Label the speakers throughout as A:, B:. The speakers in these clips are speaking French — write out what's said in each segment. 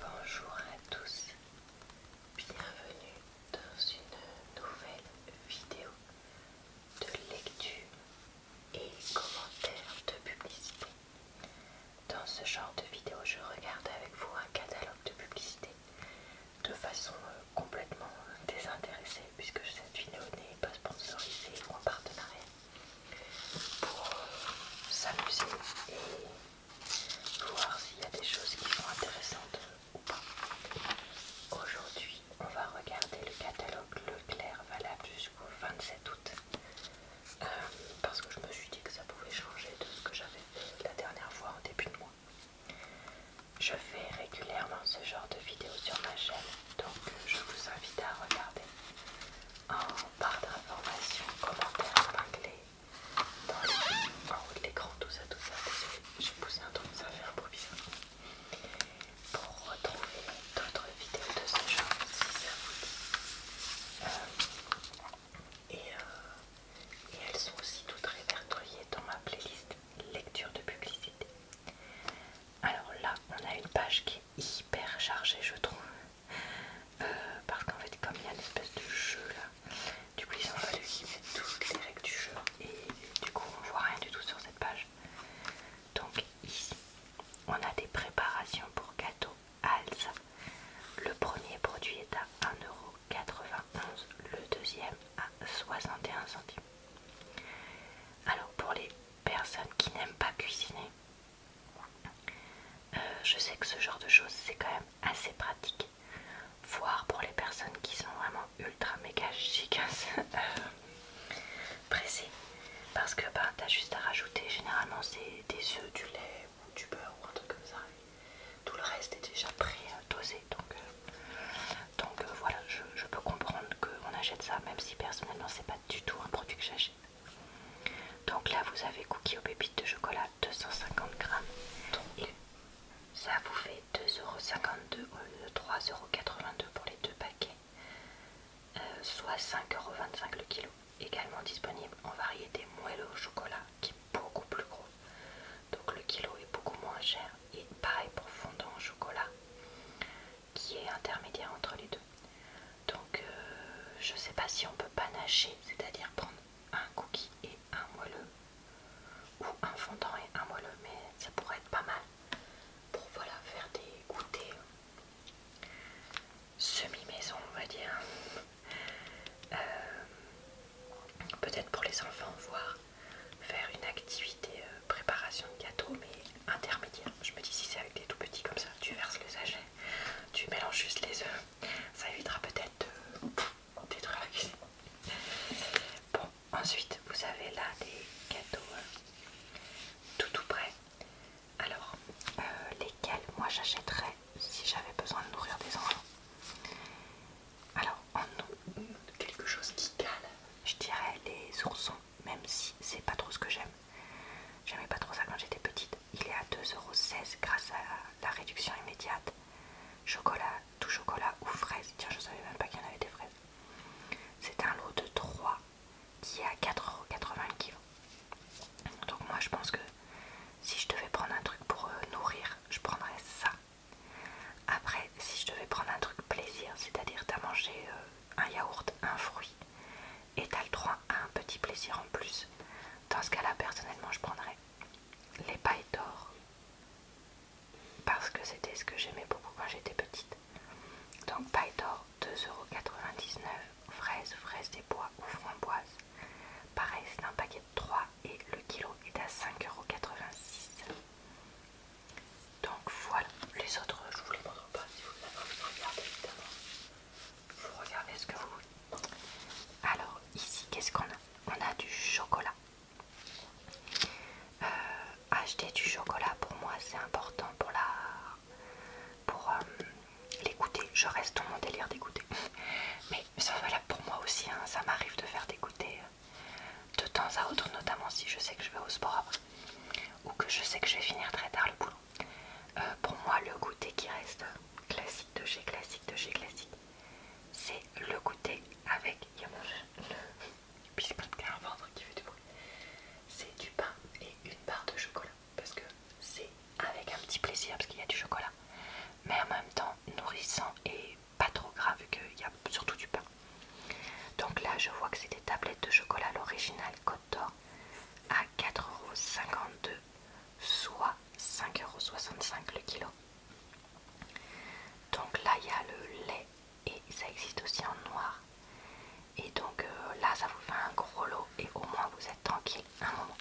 A: Bonjour à tous, bienvenue dans une nouvelle vidéo de lecture et commentaires de publicité. Dans ce genre de vidéo, je regarde avec vous un catalogue de publicité de façon euh, complètement désintéressée puisque cette vidéo n'est pas sponsorisée ou en partenariat pour euh, s'amuser et voir s'il y a des choses qui sont intéressantes ou pas. Aujourd'hui, on va regarder le catalogue Leclerc valable jusqu'au 27 août. Euh, parce que je me suis dit que ça pouvait changer de ce que j'avais fait la dernière fois en début de mois. Je fais régulièrement ce genre de vidéos sur ma chaîne, donc je vous invite à regarder. En barre d'informations, commentaires anglais dans les, en haut de l'écran, tout ça, tout ça. Désolé, j'ai poussé un truc, ça fait un Pour retrouver d'autres vidéos de ce genre, si ça vous dit. Euh, euh, et elles sont aussi toutes répertoriées dans ma playlist lecture de publicité. Alors là, on a une page qui est hyper chargée, je trouve. Euh, parce qu'en fait, comme il y a une espèce de jeu là, du coup, ils ont fallu toutes les règles du jeu et du coup, on voit rien du tout sur cette page. Donc, ici, on a des préparations pour gâteaux Alza. Le premier produit est à 1,91€, le deuxième à 61 centimes. Alors, pour les personnes qui n'aiment pas cuisiner, euh, je sais que ce genre de choses c'est quand même assez pratique, voire pour les personnes qui sont vraiment ultra méga giga euh, pressées, parce que ben, t'as juste à rajouter généralement c'est des œufs, du lait ou du beurre ou un truc comme ça. Tout le reste est déjà pré-dosé donc, euh, donc voilà, je, je peux comprendre qu'on achète ça, même si personnellement c'est pas du tout un produit que j'achète. Donc là, vous avez cookie aux pépites de chocolat 250 grammes. ça vous fait euros au lieu de euros pour les deux paquets, euh, soit 5,25 5,25€ le kilo. Également disponible en variété moelleux au chocolat qui est beaucoup plus gros. Donc le kilo est beaucoup moins cher. Et pareil pour fondant au chocolat qui est intermédiaire entre les deux. Donc je euh, je sais pas si on peut panacher, c'est-à-dire prendre un cookie et un moelleux, ou un fondant et un moelleux, mais ça pourrait être pas mal pour voilà faire des goûters semi-maison on va dire. Euh, peut-être pour les enfants, Voir faire une activité euh, préparation de gâteau, mais intermédiaire. Je me dis si c'est avec des tout petits comme ça, tu verses le sachet, tu mélanges juste les œufs ça évitera peut-être de détruire la cuisine. Bon, ensuite vous avez là des gâteaux hein. tout tout prêts. Alors, euh, lesquels moi j'achèterais si j'avais besoin de nourrir des enfants Alors, en quelque chose qui cale, je dirais les oursons, même si c'est pas trop ce que j'aime. J'aimais pas trop ça quand j'étais petite il est à 2,16€ grâce à la réduction immédiate. Chocolat, tout chocolat ou fraise. Tiens, je savais même pas qu'il y en avait des fraises. C'est un lot de 3 qui est à 4,80€ Donc moi je pense que si je devais prendre un truc pour euh, nourrir, je prendrais ça. Après, si je devais prendre un truc plaisir, c'est-à-dire t'as mangé euh, un yaourt, un fruit, et 3 le un petit plaisir en plus. Dans ce cas-là, personnellement, je prendrais les pailles d'or parce que c'était ce que j'aimais beaucoup quand j'étais petite. Donc paille d'or 2,99€, Fraises, fraises des bois ou framboises. Pareil, c'est un paquet de 3 et le kilo est à 5,86€. Donc voilà, les autres je vous les montre pas si vous ne les regardez évidemment. Vous regardez ce que vous Alors ici, qu'est-ce qu'on a On a du chocolat. Euh, acheter du chocolat pour moi c'est important pour la pour euh, l'écouter. Je reste dans mon délire d'écouter Mais ça voilà pour moi aussi, hein, ça m'arrive de faire d'écouter euh, de temps à autre, notamment si je sais que je vais au sport après ou que je sais que je vais finir très tard le boulot. Euh, pour moi, le goûter qui reste classique de chez classique de chez classique, c'est le goûter avec. Il y a mon qui fait du C'est du pain et une barre de chocolat parce que c'est avec un petit plaisir parce qu'il y a du chocolat, mais en même temps nourrissant et pas trop gras vu qu'il y a surtout du pain. Donc là, je vois que c'est des tablettes de chocolat, l'original d'or à 4,52€, soit 5,65€ le kilo. Donc là il y a le lait et ça existe aussi en noir. Et donc euh, là ça vous fait un gros lot et au moins vous êtes tranquille un moment.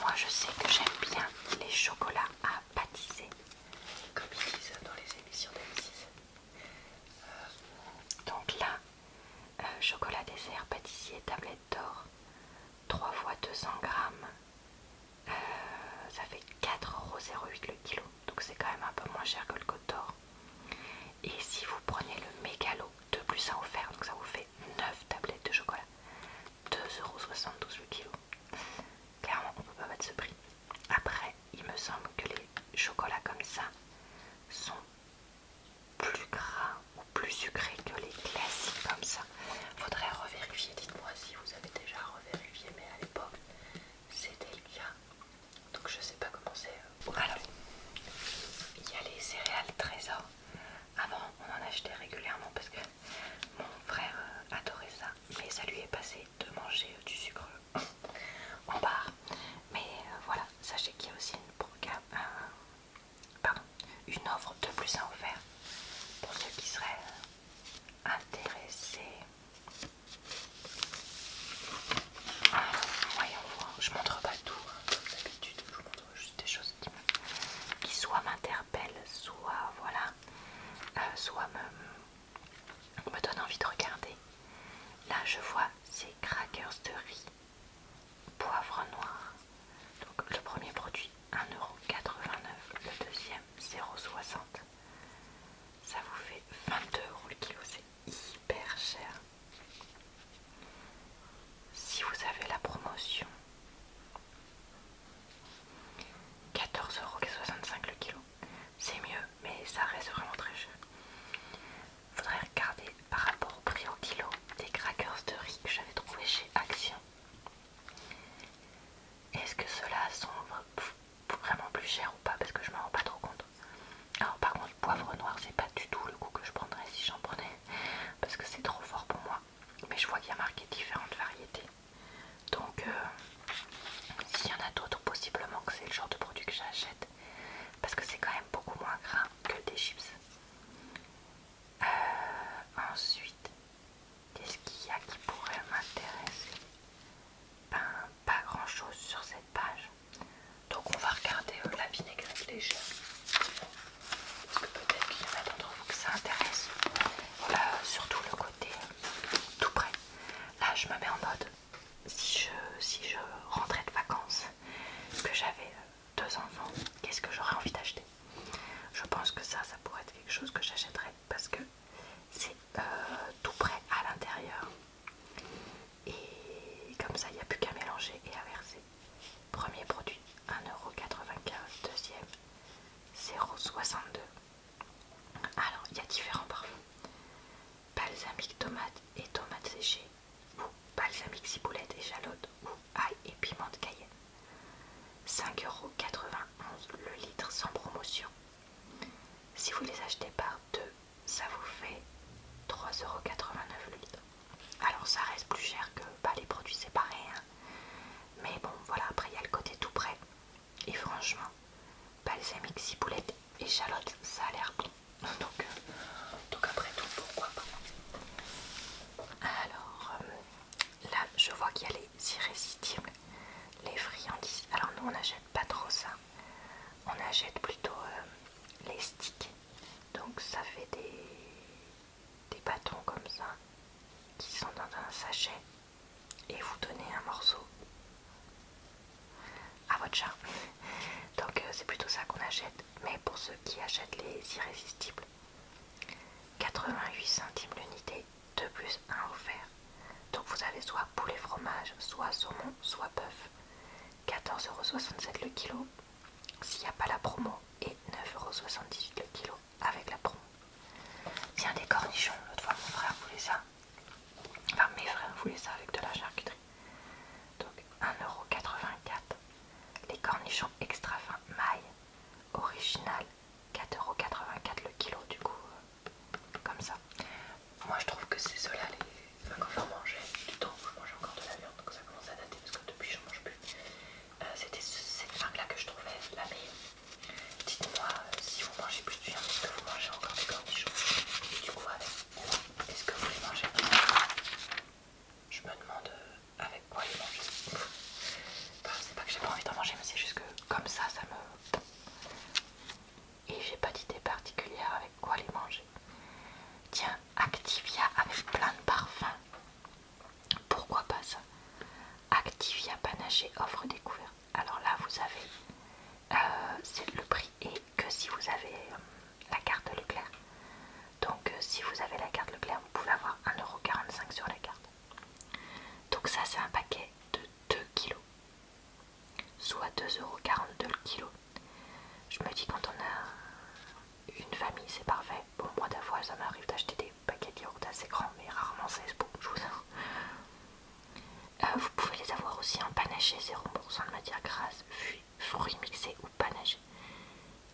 A: Moi je sais que j'aime bien les chocolats à pâtisser. Comme ils disent dans les émissions dm euh, donc là euh, chocolat dessert, pâtissier, tablette d'or, 3 fois 200 grammes, euh, ça fait 4,08€ le kilo, donc c'est quand même un peu moins cher que le code d'Or. Et si vous prenez le mégalo, De plus à offert, donc ça vous fait 9 tablettes de chocolat, euros le kilo. Clairement, on ne peut pas mettre ce prix. Après, il me semble que les chocolats comme ça sont plus gras ou plus sucré que les classiques comme ça. Faudrait revérifier, dites-moi si vous avez déjà revérifié, mais à l'époque c'était le cas. Donc je sais pas comment c'est. Euh, Alors, il y a les céréales trésors. Avant on en achetait régulièrement parce que mon frère euh, adorait ça, mais ça lui est passé de manger euh, du sucre en barre. Mais voilà, sachez qu'il y a aussi une, un, pardon, une offre de plus à offrir pour ceux qui seraient intéressés. voyons voir, je montre pas tout, hein. comme d'habitude, je vous montre juste des choses qui, soit m'interpellent, soit voilà, euh, soit me donnent envie de regarder. Là je vois ces crackers de riz poivre noir. Donc le premier produit 1,89€, le deuxième 0,60€, Ça vous fait 22 euros le kilo, c'est hyper cher. Si vous avez la promotion, 14,65€ le kilo, c'est mieux, mais ça reste vraiment très cher. Faudrait regarder par rapport au prix au kilo des crackers de riz que j'avais trouvé chez Action. Est-ce que ceux-là sont vraiment plus chers ou pas Parce que je m'en rends pas trop compte. Alors par contre, poivre noir, c'est pas du tout le goût que je prendrais si j'en prenais. Parce que c'est trop fort pour moi. Mais je vois qu'il y a marqué différentes variétés. Donc, euh, s'il y en a d'autres, possiblement que c'est le genre de produit que j'achète. Parce que c'est quand même beaucoup moins gras que des chips. Euh, ensuite, qu'est-ce qu'il y a qui pourrait m'intéresser Ben, pas grand-chose sur cette page. Donc on va regarder euh, la vinaigrette légère. Parce que peut-être qu'il y en a d'entre vous que ça intéresse. surtout le côté euh, tout près. Là, je me mets en mode. Si je, si je rentrais de vacances, que j'avais deux enfants, qu'est-ce que j'aurais envie d'acheter Je pense que ça, ça pourrait être quelque chose que j'achèterais parce que c'est euh, tout prêt à l'intérieur. Et comme ça, il n'y a plus qu'à mélanger et à verser. Premier produit, 1,95€. Deuxième, 0,62€. Alors, il y a différents parfums. Balsamique tomate et tomate séchée ou balsamique ciboulette échalote ou ail et piment de cayenne. 5,91€ le litre sans promotion. Si vous les achetez par deux, ça vous fait 3,89€ le litre. Alors ça reste plus cher que pas bah, les produits séparés. Hein. Mais bon, voilà, après il y a le côté tout prêt. Et franchement, balsamique ciboulette chalotte ça a l'air bon. Euh, donc, après tout, pourquoi pas. Alors euh, là, je vois qu'il y a les irrésistibles, les friandises. Alors nous, on n'achète pas trop ça. On achète plutôt euh, les sticks. Donc ça fait des, des bâtons comme ça qui sont dans un sachet et vous donnez un morceau à votre charme Donc euh, c'est plutôt ça qu'on achète. Mais pour ceux qui achètent les irrésistibles, 88 centimes l'unité, 2 plus 1 offert. Donc vous avez soit poulet fromage, soit saumon, soit bœuf. 14,67€ le kilo s'il n'y a pas la promo et 9,78€ le kilo avec la promo. Tiens des cornichons, l'autre fois mon frère voulait ça. Enfin mes frères voulaient ça avec de la charcuterie. Donc 1,84€. Les cornichons extra fins maille, original, 4,84€ le kilo du coup, euh, comme ça. Moi je trouve que c'est ceux-là, les... enfin, quand j'en mangeais du temps où je mangeais encore de la viande, donc ça commence à dater parce que depuis je mange plus. Euh, c'était cette marque-là que je trouvais la meilleure. Dites-moi euh, si vous mangez plus de viande, est que vous mangez encore des cornichons du coup est-ce que vous les mangez Je me demande euh, avec quoi les manger. c'est pas que j'ai pas envie d'en manger, mais c'est juste que comme ça, ça me. Et j'ai pas d'idée particulière avec quoi les manger. Tiens, Activia avec plein de parfums. Pourquoi pas ça Activia Panaché offre découverte. Alors là, vous avez. Euh, c'est le prix et que si vous avez euh, la carte Leclerc. Donc euh, si vous avez la carte Leclerc, vous pouvez avoir 1,45€ sur la carte. Donc ça c'est un paquet de 2 kg, soit 2,42€ le kilo. Je me dis quand on a une famille c'est parfait. Bon moi d'avoir ça m'arrive d'acheter des paquets de assez grands mais rarement c'est bon, je vous vous pouvez les avoir aussi en panaché 0% de matière grasse, puis fruits mixés ou panachés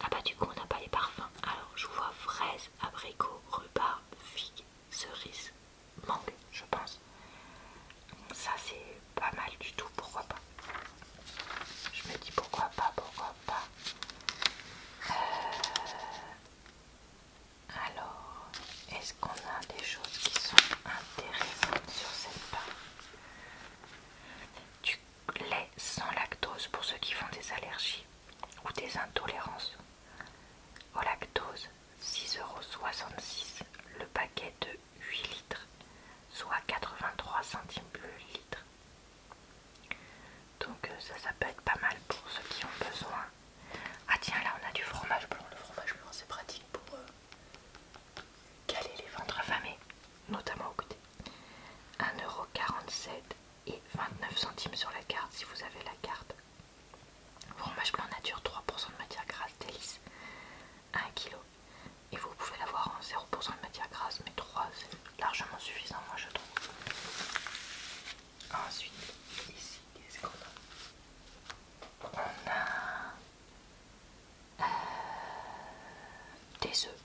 A: Ah bah du coup on n'a pas les parfums. Alors je vois fraise, abricot, rhubarbe, figue, cerise, mangue je pense. Ça c'est pas mal du tout, pourquoi pas. Je me dis pourquoi pas, pourquoi pas. Euh, alors, est-ce qu'on a des choses qui sont intéressantes sur cette part du lait sans lactose pour ceux qui font des allergies ou des intolérances au lactose, 6,66€ le paquet de 8 litres, soit 83 centimes le litre. Donc euh, ça, ça peut être pas mal pour ceux qui ont besoin. Ah tiens, là on a du fromage blanc. Le fromage blanc c'est pratique pour euh, Caler les ventres affamés, notamment au côté 1,47€ et 29 centimes sur la carte si vous avez la carte. Fromage blanc nature, 3% de matière grasse, délice, 1 kg. Et vous pouvez l'avoir en 0% de matière grasse, mais 3 c'est largement suffisant, moi je trouve. Ensuite, ici, qu'est-ce qu'on a On a euh, des œufs.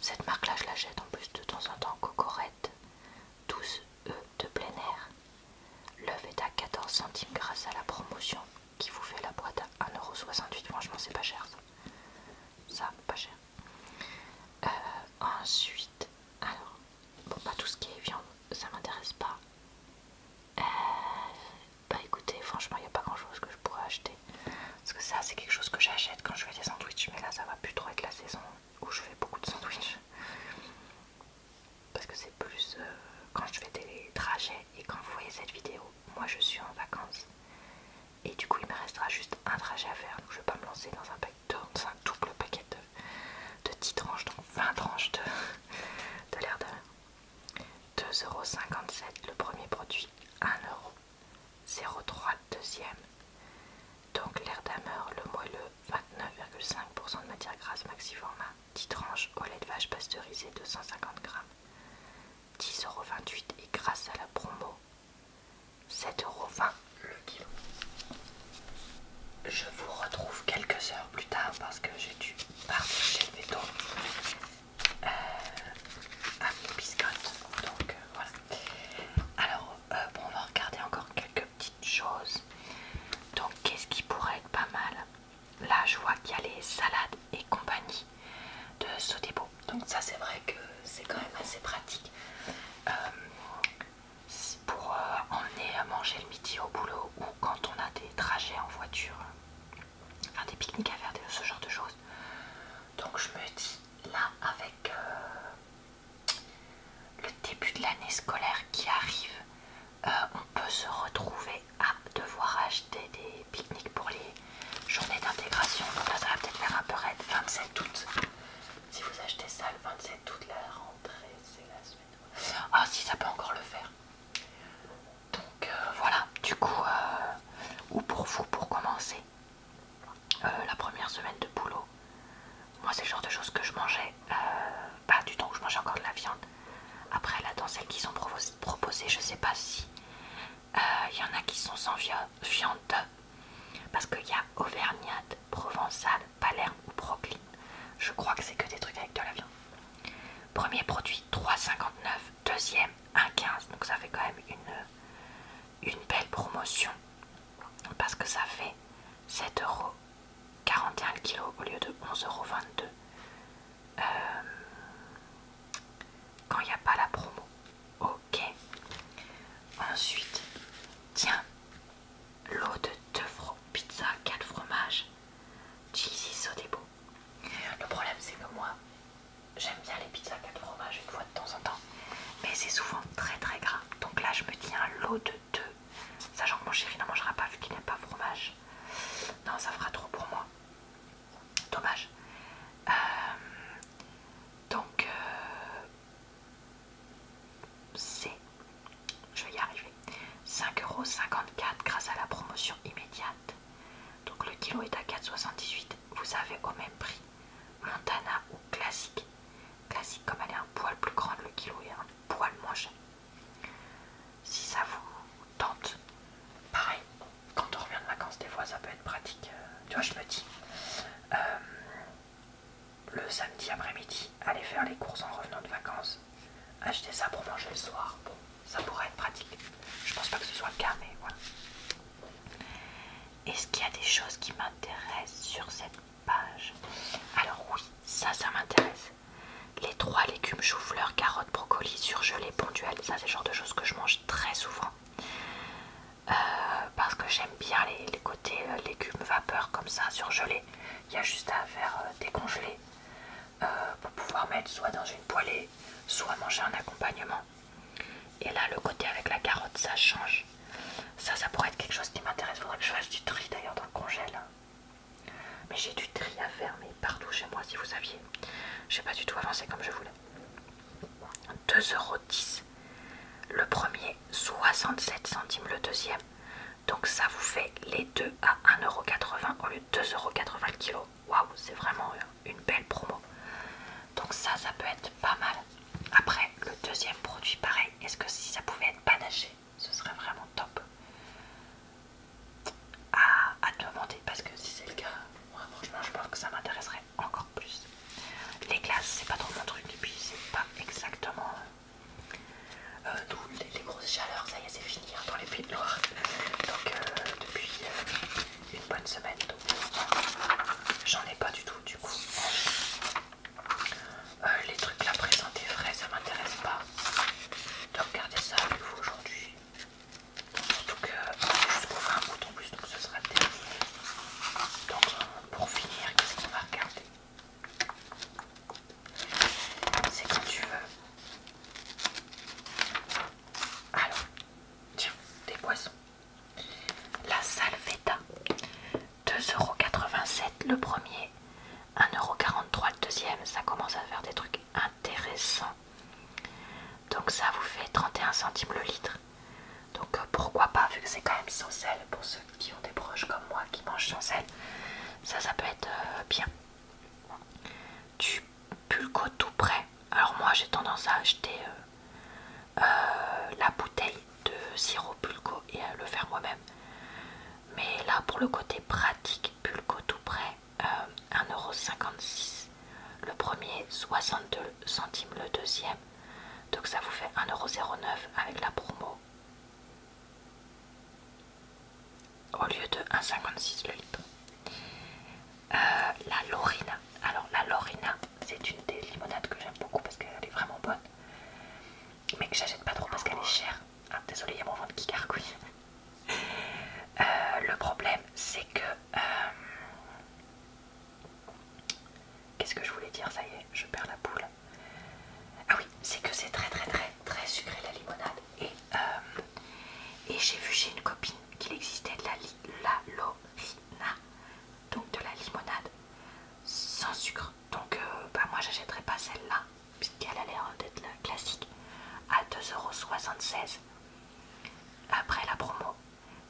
A: Cette marque là je la jette en plus de temps en temps Cocorette 12 œufs de plein air. L'œuf est à 14 centimes grâce à la promotion qui vous fait la boîte à 1,68€. Franchement c'est pas cher ça. Ça, pas cher. Euh, ensuite, alors, bon, pas tout ce qui est viande, ça m'intéresse pas. Euh, bah écoutez, franchement, il n'y a pas grand chose que je pourrais acheter. Parce que ça, c'est quelque chose que j'achète quand je fais des sandwichs. Mais là, ça va plus trop être la saison où je fais beaucoup de sandwichs. Parce que c'est plus euh, quand je fais des trajets et quand vous voyez cette vidéo, moi je suis en vacances. Et du coup, il me restera juste un trajet à faire. Donc je vais pas me lancer dans un, paquet de, un double paquet de, de 10 tranches, donc 20 tranches de, de l'air de 2,57€ le premier produit, 1€, 0,3€ le deuxième. Donc l'air d'amer le moelleux, 29,5% de matière grasse Maxiforma, 10 tranches au lait de vache pasteurisé 250 g, 10,28€ et grâce à la promo, 7,20€ le kilo. Je vous retrouve quelques heures plus tard parce que j'ai dû partager chez le béton. Euh, à Donc euh, voilà. Alors, euh, on va regarder encore quelques petites choses. Donc, qu'est-ce qui pourrait être pas mal Là, je vois qu'il y a les salades et compagnie de beau Donc, ça, c'est vrai que c'est quand même assez pratique. pour emmener à manger le midi au boulot ou quand on a des trajets en voiture faire des pique-niques à faire, ce genre de choses. Donc je me dis là avec euh, le début de l'année scolaire qui arrive, euh, on peut se retrouver à devoir acheter des pique-niques pour les journées d'intégration. Donc là ça va peut-être faire un peu raide, 27 août. Si vous achetez ça le 27 août, la rentrée c'est la semaine. Ah si ça peut encore le faire. Donc euh, voilà, du coup, euh, ou pour vous, pour commencer, euh, la première semaine de boulot, moi c'est le genre de choses que je mangeais, pas du tout, où je mangeais encore de la viande. Après, là, dans celles qui sont proposées, je ne sais pas si il y en a qui sont sans viande, parce qu'il y a Auvergnate, Provençale, Palerme ou procline. Je crois que c'est que des trucs avec de la viande. Premier produit 3,59, deuxième 1,15. Donc ça fait quand même une, belle promotion parce que ça fait 7,41€ le kilo au lieu de 11,22€. Euh, quand il n'y a pas la promo. Ok. Ensuite, tiens, l'eau de 2 pizzas pizza 4 fromages. Cheesy Sodebo. Le problème c'est que moi j'aime bien les pizzas 4 fromages une fois de temps en temps, mais c'est souvent très très gras. Donc là je me tiens un lot de deux, sachant que mon chéri n'en mangera pas vu qu'il n'aime pas fromage. Non, ça fera trop pour moi. Dommage. Euh, donc euh, c'est, je vais y arriver, 5,54€ grâce à la promotion immédiate. Donc le kilo est à 4,78. Vous avez au même prix Montana ou classique. Classique comme elle est un poil plus grande, le kilo est un poil moins cher. Si ça vous tente, pareil, quand on revient de vacances, des fois ça peut être pratique. Euh, tu vois, je me dis, euh, le samedi après-midi, Allez faire les courses en revenant de vacances, acheter ça pour manger le soir, ça pourrait être pratique. Je pense pas que ce soit le cas, mais voilà. Est-ce qu'il y a des choses qui m'intéressent sur cette page Alors oui, ça, ça m'intéresse. Les trois légumes chou-fleur, carottes, brocolis, surgelés, ponduels, ça c'est le genre de choses que je mange très souvent. Euh, parce que j'aime bien les, côtés euh, légumes vapeur comme ça, surgelés. Il y a juste à faire euh, décongeler euh, pour pouvoir mettre soit dans une poêlée, soit manger en accompagnement. Et là, le côté avec la carotte, ça change. Ça, ça pourrait être quelque chose qui m'intéresse. Faudrait que je fasse du tri d'ailleurs dans le congèle. Mais j'ai du tri à faire, mais partout chez moi, si vous saviez. J'ai pas du tout avancé comme je voulais. 2,10€. Le premier, 67 centimes le deuxième. Donc ça vous fait les deux à 1,80€ au lieu 2,80€ le kilo. Waouh, c'est vraiment une belle promo. Donc ça, ça peut être pas mal. Après, le deuxième produit, pareil, est-ce que si ça pouvait être panaché, ce serait vraiment top à, à demander parce que si c'est le cas, moi franchement je pense que ça m'intéresserait encore plus. Les glaces, c'est pas trop mon truc et puis c'est pas exactement D'où euh, les, grosses chaleurs, ça y est, c'est fini hein, dans les Pays de Loire. Donc, euh, depuis euh, une bonne semaine, j'en ai pas du tout, du coup. les trucs là présentés frais, ça m'intéresse pas Donc regarder ça avec vous aujourd'hui. donc juste un bouton en plus, donc ce sera terminé Donc, pour finir, qu'est-ce qu'on va regarder c'est quand tu veux. Alors, tiens, des poissons La Salvetta. 2,87€ le premier, 1,43€ le deuxième. Ça commence à faire des trucs intéressants. Donc ça vous fait 31 centimes le litre. Donc euh, pourquoi pas, vu que c'est quand même sans sel, pour ceux qui ont des proches comme moi qui mangent sans sel, ça ça peut être euh, bien du pulco tout prêt. Alors moi j'ai tendance à acheter euh, euh, la bouteille de sirop pulco et à le faire moi-même. Mais là pour le côté pratique, pulco tout prêt, euh, 1,56€. Le premier, 62 centimes le deuxième. Donc ça vous fait 1,09€ avec la promo au lieu de 1,56 le litre. la Lorina, alors la Lorina, c'est une des limonades que j'aime beaucoup parce qu'elle est vraiment bonne, mais que j'achète pas trop parce qu'elle est chère. Ah, Désolée il y a mon ventre qui gargouille. Euh, le problème, c'est que. Euh, qu'est-ce que je voulais dire Ça y est, je perds la boule. Ah oui, c'est que c'est très très très très sucré la limonade et euh, et j'ai vu chez une copine qu'il existait de la, la donc de la limonade sans sucre. Donc euh, bah, moi j'achèterai pas celle-là, puisqu'elle a l'air d'être classique, à 2,76€. Après la promo.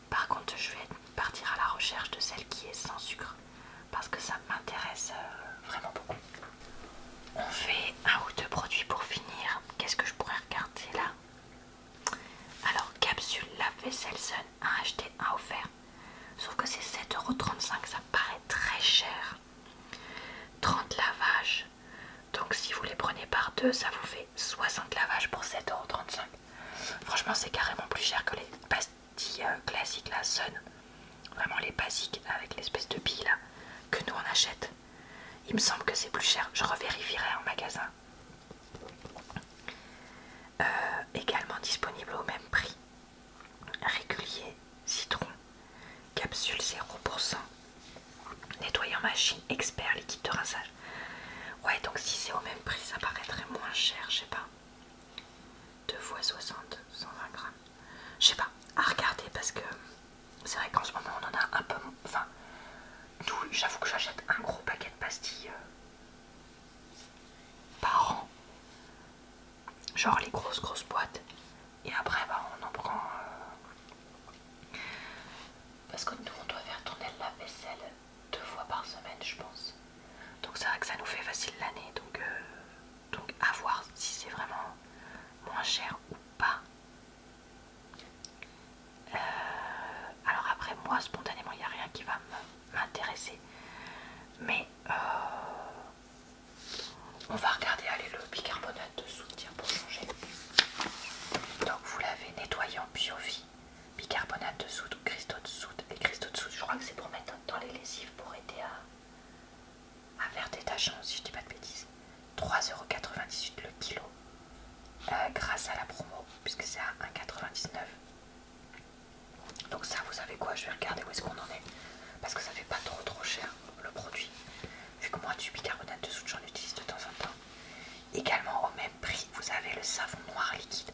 A: Par contre je vais partir à la recherche de celle qui est sans sucre, parce que ça m'intéresse euh, vraiment beaucoup. On fait un ou deux produits pour finir. Qu'est-ce que je pourrais regarder là Alors, capsule lave-vaisselle Sun, un acheté, un offert. Sauf que c'est 7,35€, ça paraît très cher. 30 lavages. Donc si vous les prenez par deux, ça vous fait 60 lavages pour 7,35€. Franchement, c'est carrément plus cher que les pastilles euh, classiques, la Sun. Vraiment les basiques avec l'espèce de bille là que nous on achète. Il me semble que c'est plus cher. Je revérifierai en magasin. Euh, également disponible au même prix. Régulier, citron, capsule 0%, nettoyant machine, expert, liquide de rinçage. Ouais, donc si c'est au même prix, ça paraîtrait moins cher, je sais pas. 2 x 60, 120 grammes je sais pas, à regarder parce que c'est vrai qu'en ce moment on en a un peu. Enfin, D'où j'avoue que j'achète un gros paquet de pastilles euh, par an, genre les grosses grosses boîtes, et après bah, on en prend euh, parce que nous on doit faire tourner la vaisselle deux fois par semaine, je pense. Donc c'est vrai que ça nous fait facile l'année, donc euh, donc à voir si c'est vraiment moins cher ou pas. Euh, alors après moi spontanément il n'y a rien qui va m'intéresser. Mais euh, on va regarder allez, le bicarbonate de soude, tiens, pour changer. Donc vous l'avez nettoyant Biovie, bicarbonate de soude, cristaux de soude et cristaux de soude. Je crois que c'est pour mettre dans les lessives pour aider à des verre détachant, si je dis pas de bêtises. 3,98€ le kilo. Euh, grâce à la promo, puisque c'est à 1,99€. Donc ça, vous savez quoi Je vais regarder où est-ce qu'on en est. Parce que ça fait pas trop trop cher, le produit. Vu que moi, du bicarbonate de soude, j'en utilise de temps en temps. Également, au même prix, vous avez le savon noir liquide.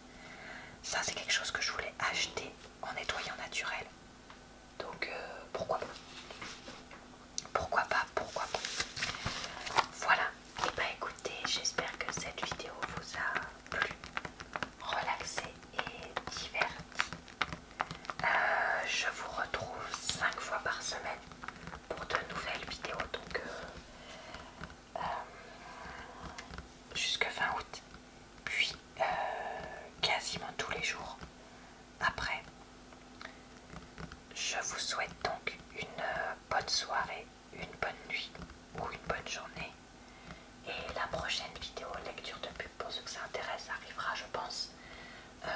A: Ça, c'est quelque chose que je voulais acheter en nettoyant naturel. Donc euh, pourquoi pas Pourquoi pas Pourquoi pas Voilà. Et eh bah ben, écoutez, j'espère que cette vidéo vous a plu, relaxé et diverti. Euh, je vous retrouve 5 fois par semaine pour de nouvelles vidéos. Donc euh, jusque fin août. Puis euh, quasiment tous les jours après. Je vous souhaite donc une euh, bonne soirée, une bonne nuit ou une bonne journée. Et la prochaine vidéo lecture de pub pour ceux que ça intéresse arrivera je pense euh,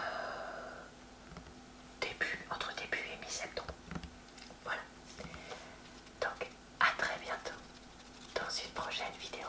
A: début, entre début et mi-septembre. Voilà. Donc à très bientôt dans une prochaine vidéo.